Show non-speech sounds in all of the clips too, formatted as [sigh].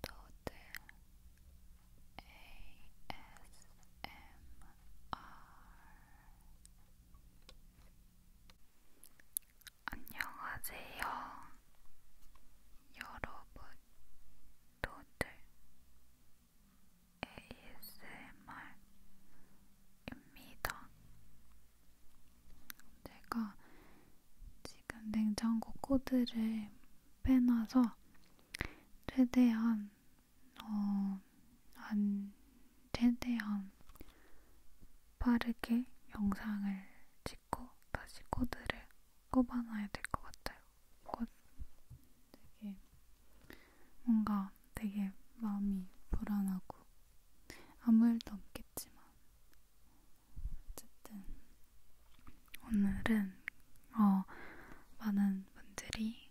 도들 ASMR 안녕하세요 여러분 도들 ASMR입니다. 제가 지금 냉장고 코드를 빼놔서 최대한 어, 안 최대한 빠르게 영상을 찍고 다시 코드를 꼽아놔야 될 것 같아요. 곧 되게 뭔가 되게 마음이 불안하고 아무 일도 없겠지만 어쨌든 오늘은 어, 많은 분들이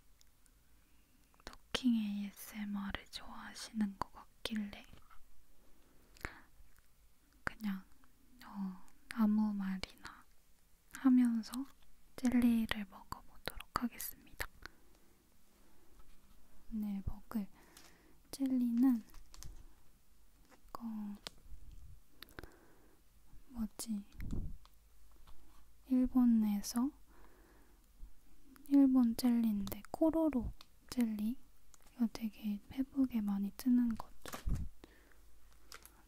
토킹 ASMR을 좋아하시는 것 같길래 그냥 어, 아무 말이나 하면서 젤리를 먹어보도록 하겠습니다. 오늘 네, 먹을 젤리는 그 뭐지? 일본에서 일본 젤리인데 코로로 젤리 이거 되게 페북에 많이 뜨는 것.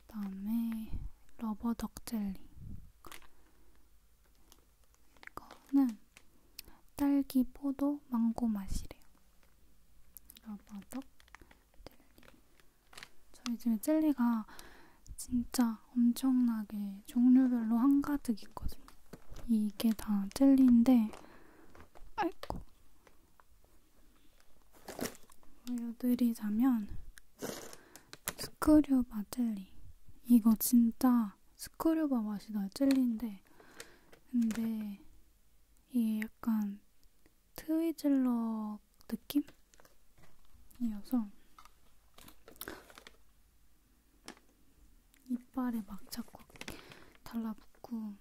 그다음에 러버덕 젤리 이거는 딸기 포도 망고 맛이래요. 러버덕 저희 집에 젤리가 진짜 엄청나게 종류별로 한가득 있거든요. 이게 다 젤리인데, 아이고. 보여드리자면, 스크류바 젤리. 이거 진짜 스크류바 맛이 나 젤리인데, 근데 이게 약간 트위즐러 느낌이어서 이빨에 막 자꾸 달라붙고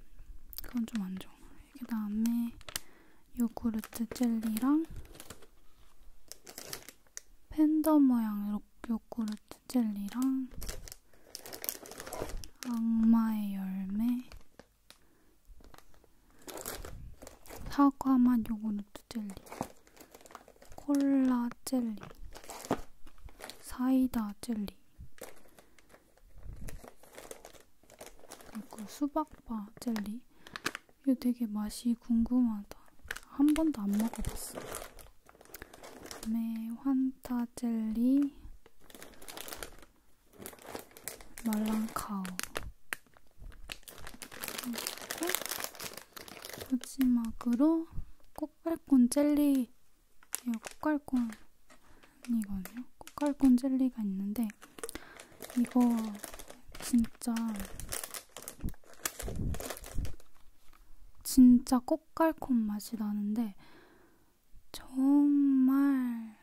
그건 좀 안 좋아. 그 다음에 요구르트 젤리랑 팬더 모양 요구르트 젤리랑 악마의 열매 사과맛 요구르트 젤리 콜라 젤리 사이다 젤리 그리고 수박바 젤리 이거 되게 맛이 궁금하다 한 번도 안 먹어봤어 그 다음에 환타 젤리 말랑카우 그리고 마지막으로 꽃갈콘 젤리 이거 예, 꽃갈콘이거든요 꽃갈콘 젤리가 있는데 이거 진짜 진짜 꽃갈콘 맛이 나는데 정말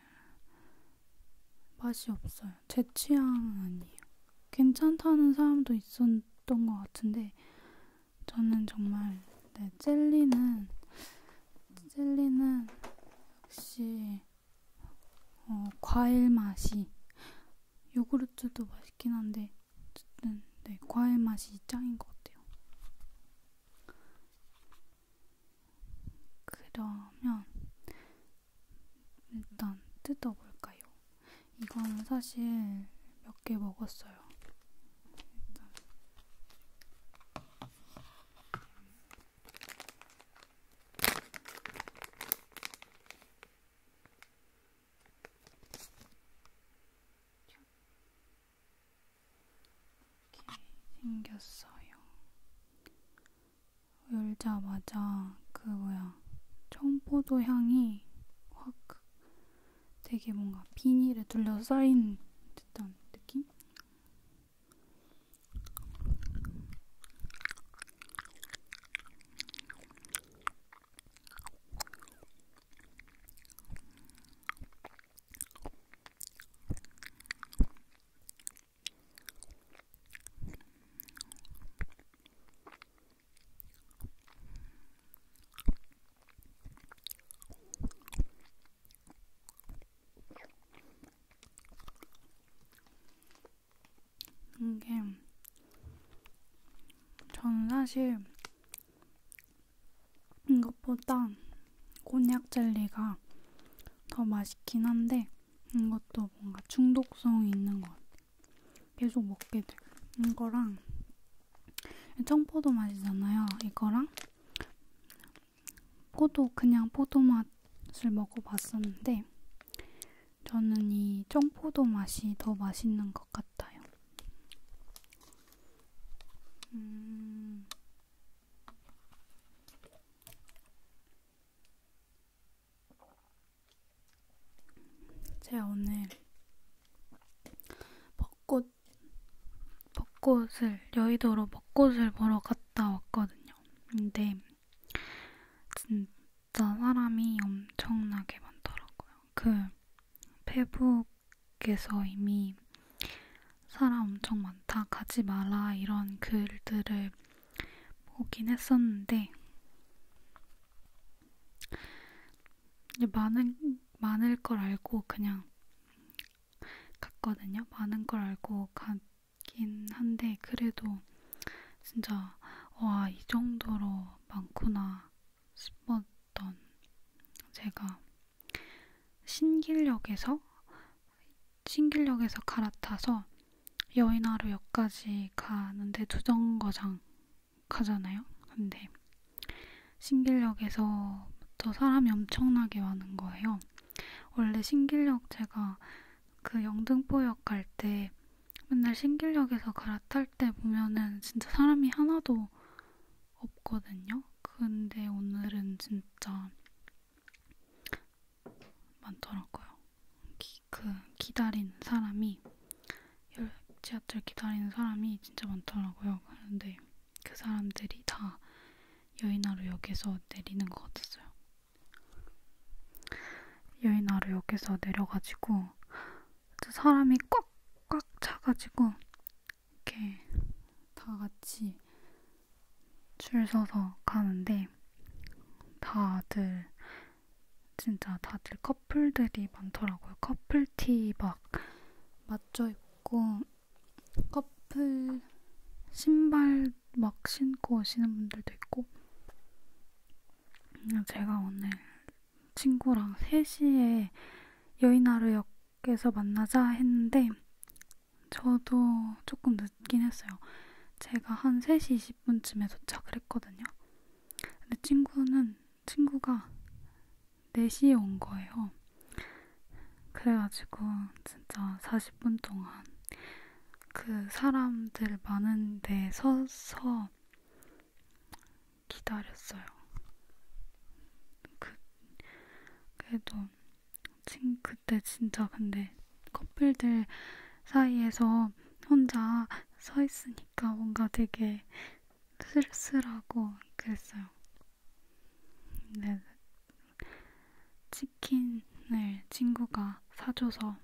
맛이 없어요. 제 취향 아니에요. 괜찮다는 사람도 있었던 것 같은데 저는 정말 네, 젤리는 젤리는 역시 어, 과일 맛이 요구르트도 맛있긴 한데 어쨌든 네, 과일 맛이 짱인 것 같아요. 그러면 일단 뜯어볼까요? 이거는 사실 몇 개 먹었어요. 일단. 이렇게 생겼어요. 열자마자 그 뭐야 청포도 향이 확 되게 뭔가 비닐에 둘러싸인 듯한 느낌? 이게 저는 사실 이것보다 곤약 젤리가 더 맛있긴 한데 이것도 뭔가 중독성이 있는 것 같아. 계속 먹게 돼. 이거랑 청포도 맛이잖아요. 이거랑 포도 그냥 포도 맛을 먹어봤었는데 저는 이 청포도 맛이 더 맛있는 것 같아요. 음, 제가 오늘 벚꽃, 벚꽃을, 여의도로 벚꽃을 보러 갔다 왔거든요. 근데, 진짜 사람이 엄청나게 많더라고요. 그, 페북 께서 이미 사람 엄청 많다, 가지 마라 이런 글들을 보긴 했었는데 많은 많을 걸 알고 그냥 갔거든요. 많은 걸 알고 갔긴 한데 그래도 진짜 와 이 정도로 많구나 싶었던 제가 신길역에서 신길역에서 갈아타서 여의나루역까지 가는데 두정거장 가잖아요. 근데 신길역에서부터 사람이 엄청나게 많은 거예요. 원래 신길역 제가 그 영등포역 갈 때 맨날 신길역에서 갈아탈 때 보면은 진짜 사람이 하나도 없거든요. 근데 오늘은 진짜 많더라고요. 기, 그 기다리는 사람이 지하철 기다리는 사람이 진짜 많더라고요. 그런데 그 사람들이 다 여인하루역에서 내리는 것 같았어요. 여인하루역에서 내려가지고 사람이 꽉꽉 차가지고 이렇게 다 같이 줄 서서 가는데 다들 진짜 다들 커플들이 많더라고요. 커플티 막 맞춰 입고 커플 신발 막 신고 오시는 분들도 있고 제가 오늘 친구랑 3시에 여의나루역 그래서 만나자 했는데 저도 조금 늦긴 했어요. 제가 한 3시 20분쯤에 도착을 했거든요. 근데 친구는, 친구가 4시에 온 거예요. 그래가지고 진짜 40분 동안 그 사람들 많은 데 서서 기다렸어요. 그, 그래도 친 그때 진짜 근데 커플들 사이에서 혼자 서 있으니까 뭔가 되게 쓸쓸하고 그랬어요. 근데 치킨을 친구가 사줘서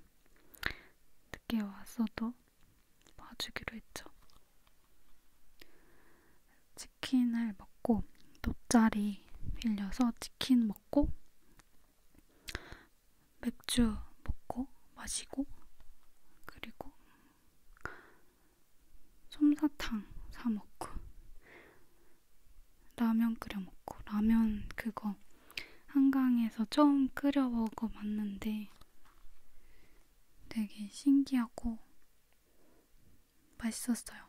늦게 왔어도 봐주기로 했죠. 치킨을 먹고 돗자리 빌려서 치킨 먹고 맥주 먹고 마시고 그리고 솜사탕 사 먹고 라면 끓여 먹고 라면 그거 한강에서 처음 끓여 먹어봤는데 되게 신기하고 맛있었어요.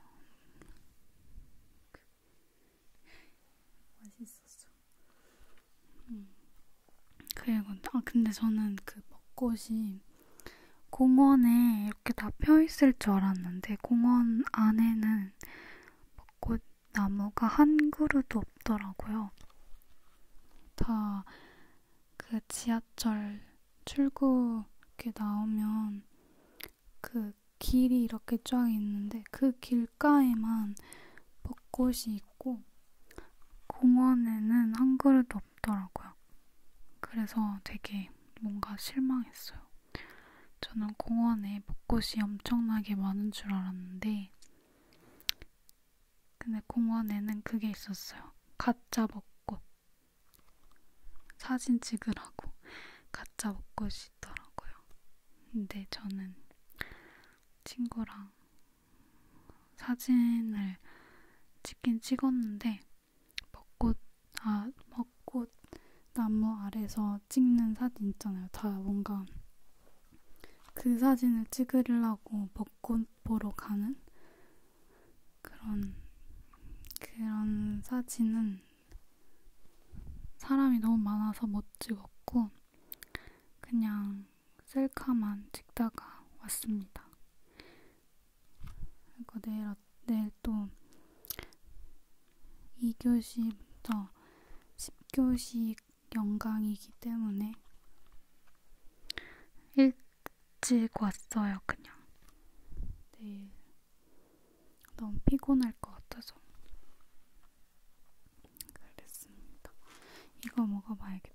맛있었어. 음. 그리고 아 근데 저는 그 벚꽃이 공원에 이렇게 다 펴있을 줄 알았는데 공원 안에는 벚꽃 나무가 한 그루도 없더라고요. 다 그 지하철 출구 이렇게 나오면 그 길이 이렇게 쫙 있는데 그 길가에만 벚꽃이 있고 공원에는 한 그루도 없더라고요. 그래서 되게 뭔가 실망했어요. 저는 공원에 벚꽃이 엄청나게 많은 줄 알았는데 근데 공원에는 그게 있었어요. 가짜 벚꽃. 사진 찍으라고 가짜 옷것이 있더라고요. 근데 저는 친구랑 사진을 찍긴 찍었는데 벚꽃 아 벚꽃 나무 아래서 찍는 사진 있잖아요. 다 뭔가 그 사진을 찍으려고 벚꽃 보러 가는 그런 그런 사진은 사람이 너무 많아서 못 찍었고 그냥 셀카만 찍다가 왔습니다. 그리고 내일 어, 내일 또 2교시부터 10교시 연강이기 때문에 1 지고 왔어요, 그냥. 내일 네. 너무 피곤할 것 같아서. 그랬습니다. 이거 먹어봐야겠다.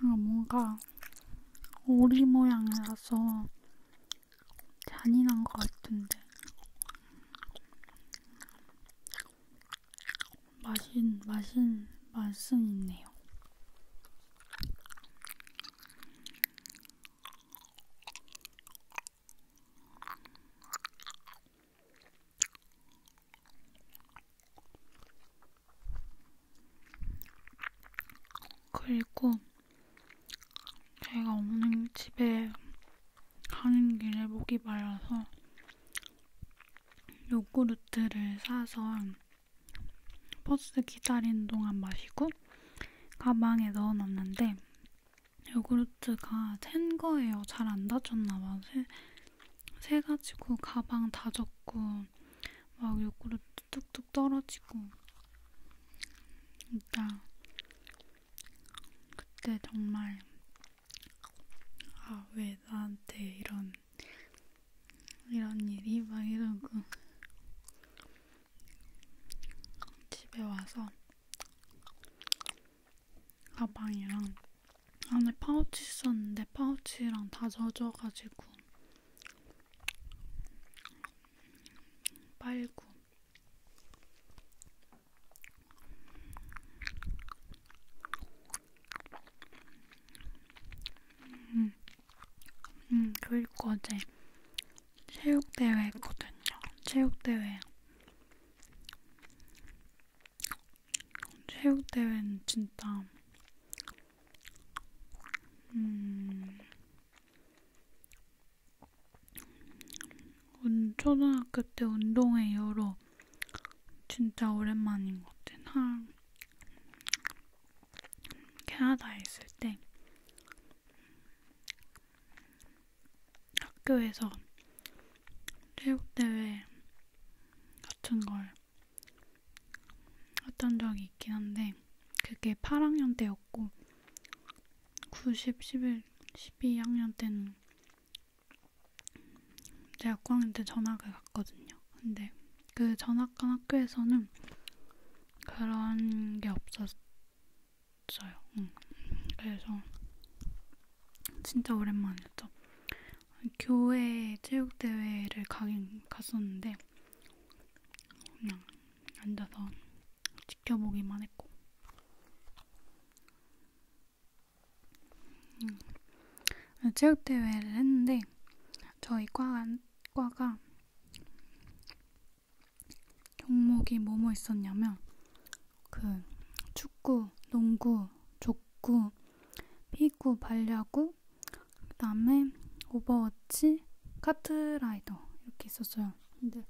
아, 뭔가 오리 모양이라서 잔인한 것 같은데 맛은 맛은 맛은 있네요. 그리고 제가 오는 집에 가는 길에 목이 말라서 요구르트를 사서 버스 기다리는 동안 마시고 가방에 넣어 놨는데 요구르트가 샌 거예요. 잘 안 다쳤나 봐. 새, 새가지고 가방 다졌고 막 요구르트 뚝뚝 뚝 떨어지고 일단 그때 정말 아 왜 나한테 이런 이런 일이 막 이러고 집에 와서 가방이랑 안에 파우치 있었는데 파우치랑 다 젖어가지고 빨구 음, 음 그리고 어제 체육대회 했거든요. 체육대회. 체육대회는 진짜 음. 음, 초등학교 때 운동회 이후로 진짜 오랜만인 것 같아. 한 캐나다에 있을 때 학교에서 체육대회 같은 걸 했던 적이 있긴 한데 그게 8학년 때였고 90, 11, 12학년 때는 제가 9학년 때 전학을 갔거든요. 근데 그 전학 간 학교에서는 그런 게 없었어요. 응. 그래서 진짜 오랜만이었죠. 교회 체육대회를 가긴 갔었는데 그냥 앉아서 지켜보기만 했고 음, 체육대회를 했는데 저희 과가, 과가 종목이 뭐뭐 있었냐면 그 축구, 농구, 족구, 피구, 발야구, 있었고 그 다음에 오버워치, 카트라이더 이렇게 있었어요. 근데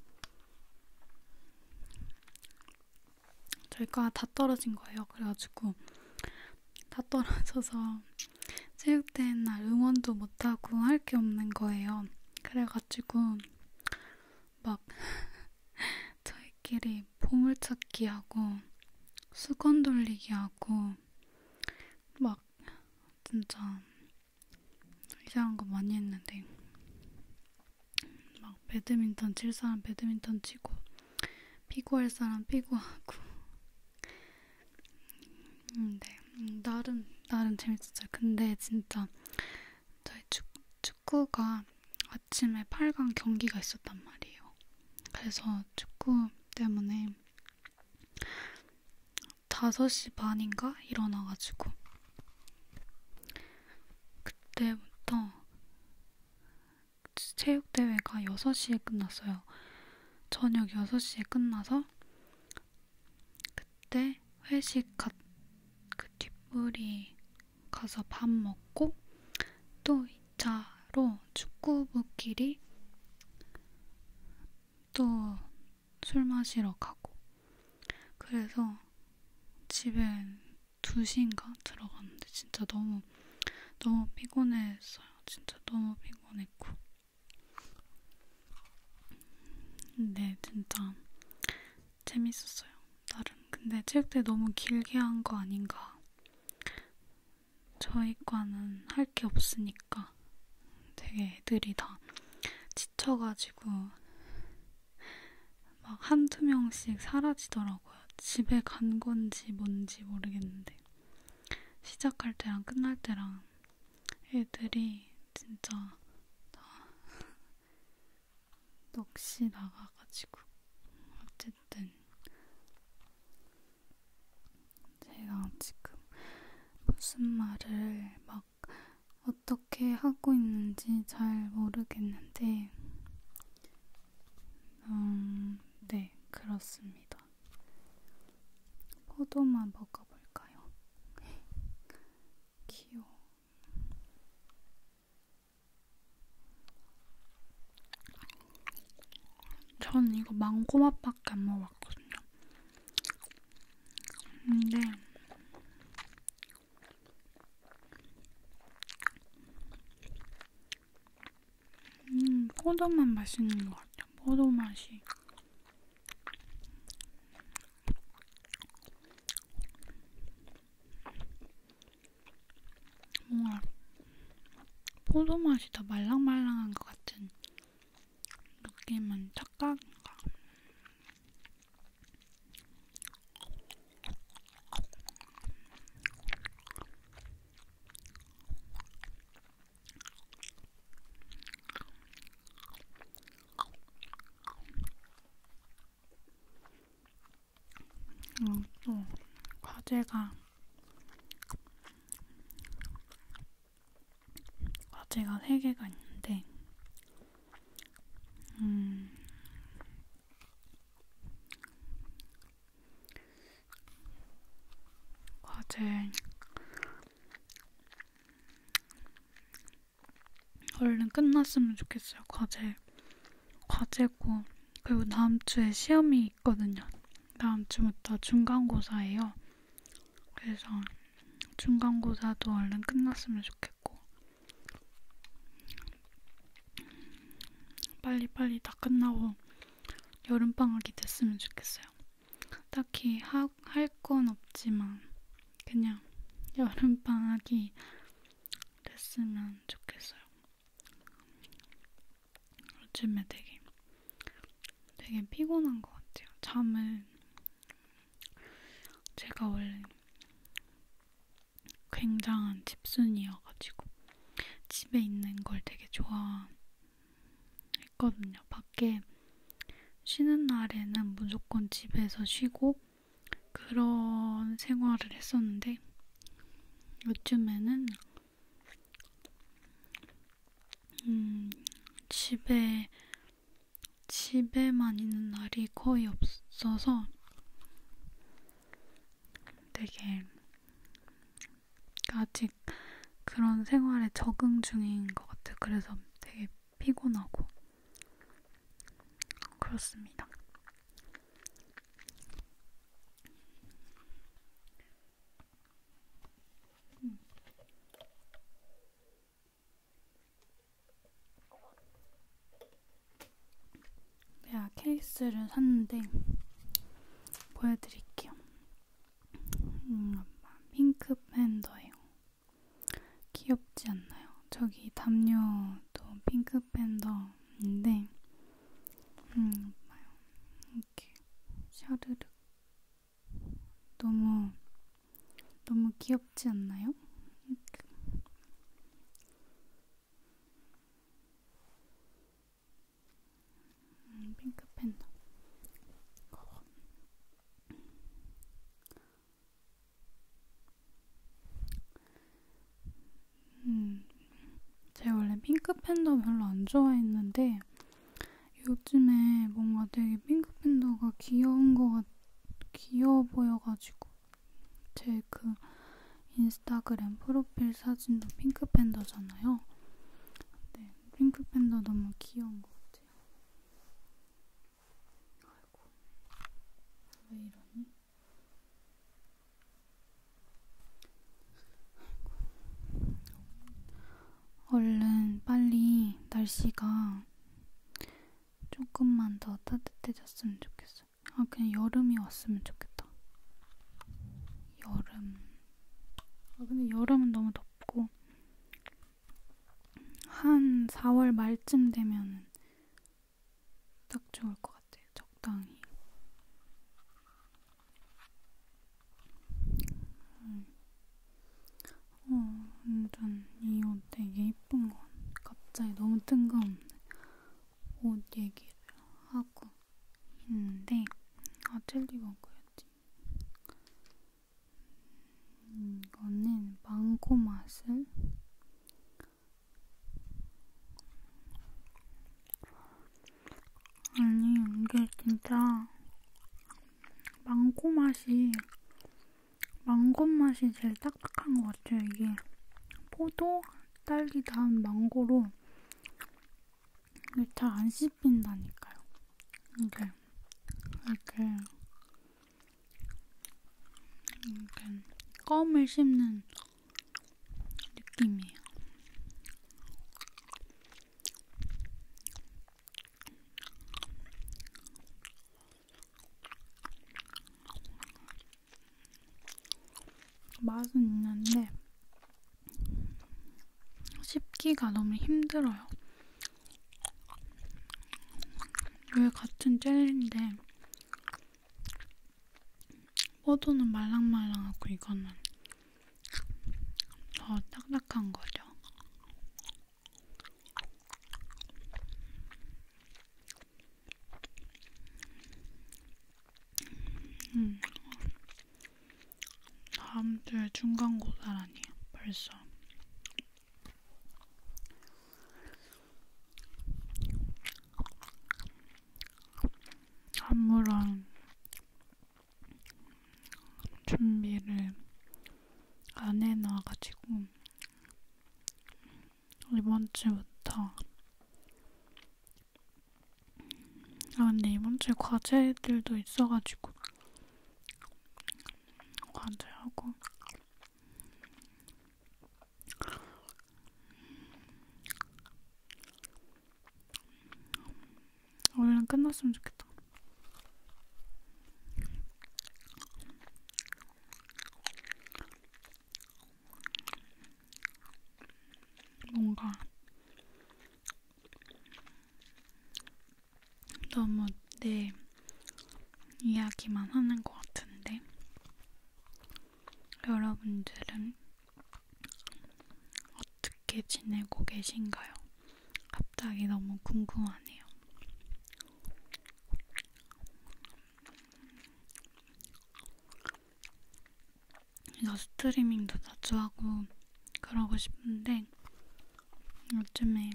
저희가 다 떨어진 거예요. 그래가지고 다 떨어져서 체육대회 날 응원도 못하고 할 게 없는 거예요. 그래가지고 막 [laughs] 저희끼리 보물찾기 하고 수건 돌리기 하고 막 진짜 이상한 거 많이 했는데 막 배드민턴 칠 사람 배드민턴 치고 피구할 사람 피구하고 근데 음, 나름 나름 재밌었어요. 근데 진짜 저희 축, 축구가 아침에 8강 경기가 있었단 말이에요. 그래서 축구 때문에 5시 반인가 일어나가지고 그때부터 체육대회가 6시에 끝났어요. 저녁 6시에 끝나서 그때 회식 갔, 그 뒷부리 가서 밥 먹고 또 2차 바로 축구부끼리 또 술 마시러 가고 그래서 집에 2시인가 들어갔는데 진짜 너무 너무 피곤했어요. 진짜 너무 피곤했고 근데 진짜 재밌었어요. 나름 근데 체육대 너무 길게 한 거 아닌가 저희 과는 할 게 없으니까 되게 애들이 다 지쳐가지고 막 한두 명씩 사라지더라고요. 집에 간 건지 뭔지 모르겠는데 시작할 때랑 끝날 때랑 애들이 진짜 다 [laughs] 넋이 나가가지고 어쨌든 제가 지금 무슨 말을 막 어떻게 하고 있는지 잘 모르겠는데, 음, 네, 그렇습니다. 포도만 먹어볼까요? [laughs] 귀여워. 전 이거 망고맛밖에 안 먹어봤거든요. 근데 음, 포도만 맛있는 것 같아요. 포도 맛이 뭔가 포도 맛이 더 말랑말랑한 것 같은 느낌은 착각인가? 음, 또 과제가 과제가 3개가 있는데 음 과제 얼른 끝났으면 좋겠어요. 과제 과제고 그리고 다음 주에 시험이 있거든요. 다음 주부터 중간고사예요. 그래서 중간고사도 얼른 끝났으면 좋겠고 빨리빨리 다 끝나고 여름방학이 됐으면 좋겠어요. 딱히 할 건 없지만 그냥 여름방학이 됐으면 좋겠어요. 요즘에 되게 되게 피곤한 것 같아요. 잠을 제가 원래 굉장한 집순이여가지고 집에 있는 걸 되게 좋아했거든요. 밖에 쉬는 날에는 무조건 집에서 쉬고 그런 생활을 했었는데 요즘에는 음, 집에, 집에만 있는 날이 거의 없어서 되게 아직 그런 생활에 적응 중인 것 같아요. 그래서 되게 피곤하고 그렇습니다. 음. 내가 케이스를 샀는데 보여드릴게요. 음, 핑크 팬더예요. 귀엽지 않나요? 저기 담요도 핑크 팬더인데, 음, 이렇게 샤르륵 너무 너무 귀엽지 않나요? 음, 핑크 팬더 음, 제가 원래 핑크 팬더 별로 안 좋아했는데 요즘에 뭔가 되게 핑크팬더가 귀여운 거 같, 귀여워 보여가지고 제 그 인스타그램 프로필 사진도 핑크팬더잖아요. 네, 핑크팬더 너무 귀여운 것 같아요. 아이고, 왜 이러니? 얼른 빨리 날씨가 조금만 더 따뜻해졌으면 좋겠어. 아, 그냥 여름이 왔으면 좋겠다. 여름. 아, 근데 여름은 너무 덥고, 한 4월 말쯤 되면은 딱 좋을 것 같아요. 적당히. 음. 어, 완전 이 옷 되게 예쁜 것 갑자기 너무 뜬금없는 옷 얘기를 하고 있는데 아 젤리 먹어야지 음, 이거는 망고 맛을 아니 이게 진짜 망고 맛이 망고 맛이 제일 딱딱한 것 같아요. 이게 포도, 딸기 다음 망고로 이게 잘안 씹힌다니까요. 이게 이렇게 이렇게 껌을 씹는 느낌이에요. 맛은 있는데 씹기가 너무 힘들어요. 왜 같은 젤리인데 포도는 말랑말랑하고 이거는 더 딱딱한 거죠. 음. 다음 주에 중간고사라니 벌써. 아무런 준비를 안 해놔가지고 이번 주부터 아 근데 이번 주에 과제들도 있어가지고 과제하고 얼른 끝났으면 좋겠다. 뭔가 너무 내 이야기만 하는 것 같은데 여러분들은 어떻게 지내고 계신가요? 갑자기 너무 궁금하네요. 그래서 스트리밍도 자주 하고 그러고 싶은데 요즘에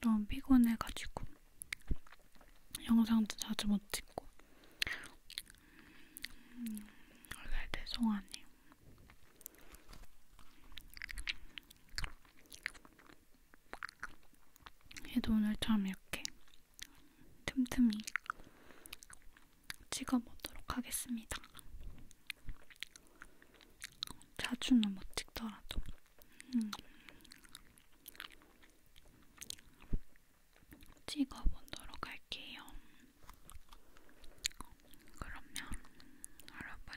너무 피곤해가지고 영상도 자주 못 찍고 네, 죄송하네요. 얘도 오늘 참 이렇게 틈틈이 찍어보도록 하겠습니다. 자주는 못 찍더라도. 음. 찍어보도록 할게요. 그러면 여러분,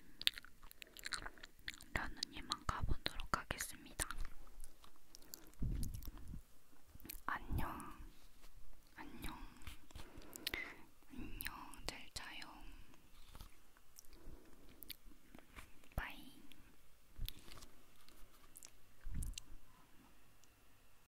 라누님만 가보도록 하겠습니다. 안녕, 안녕, 안녕, 잘 자요. 바이.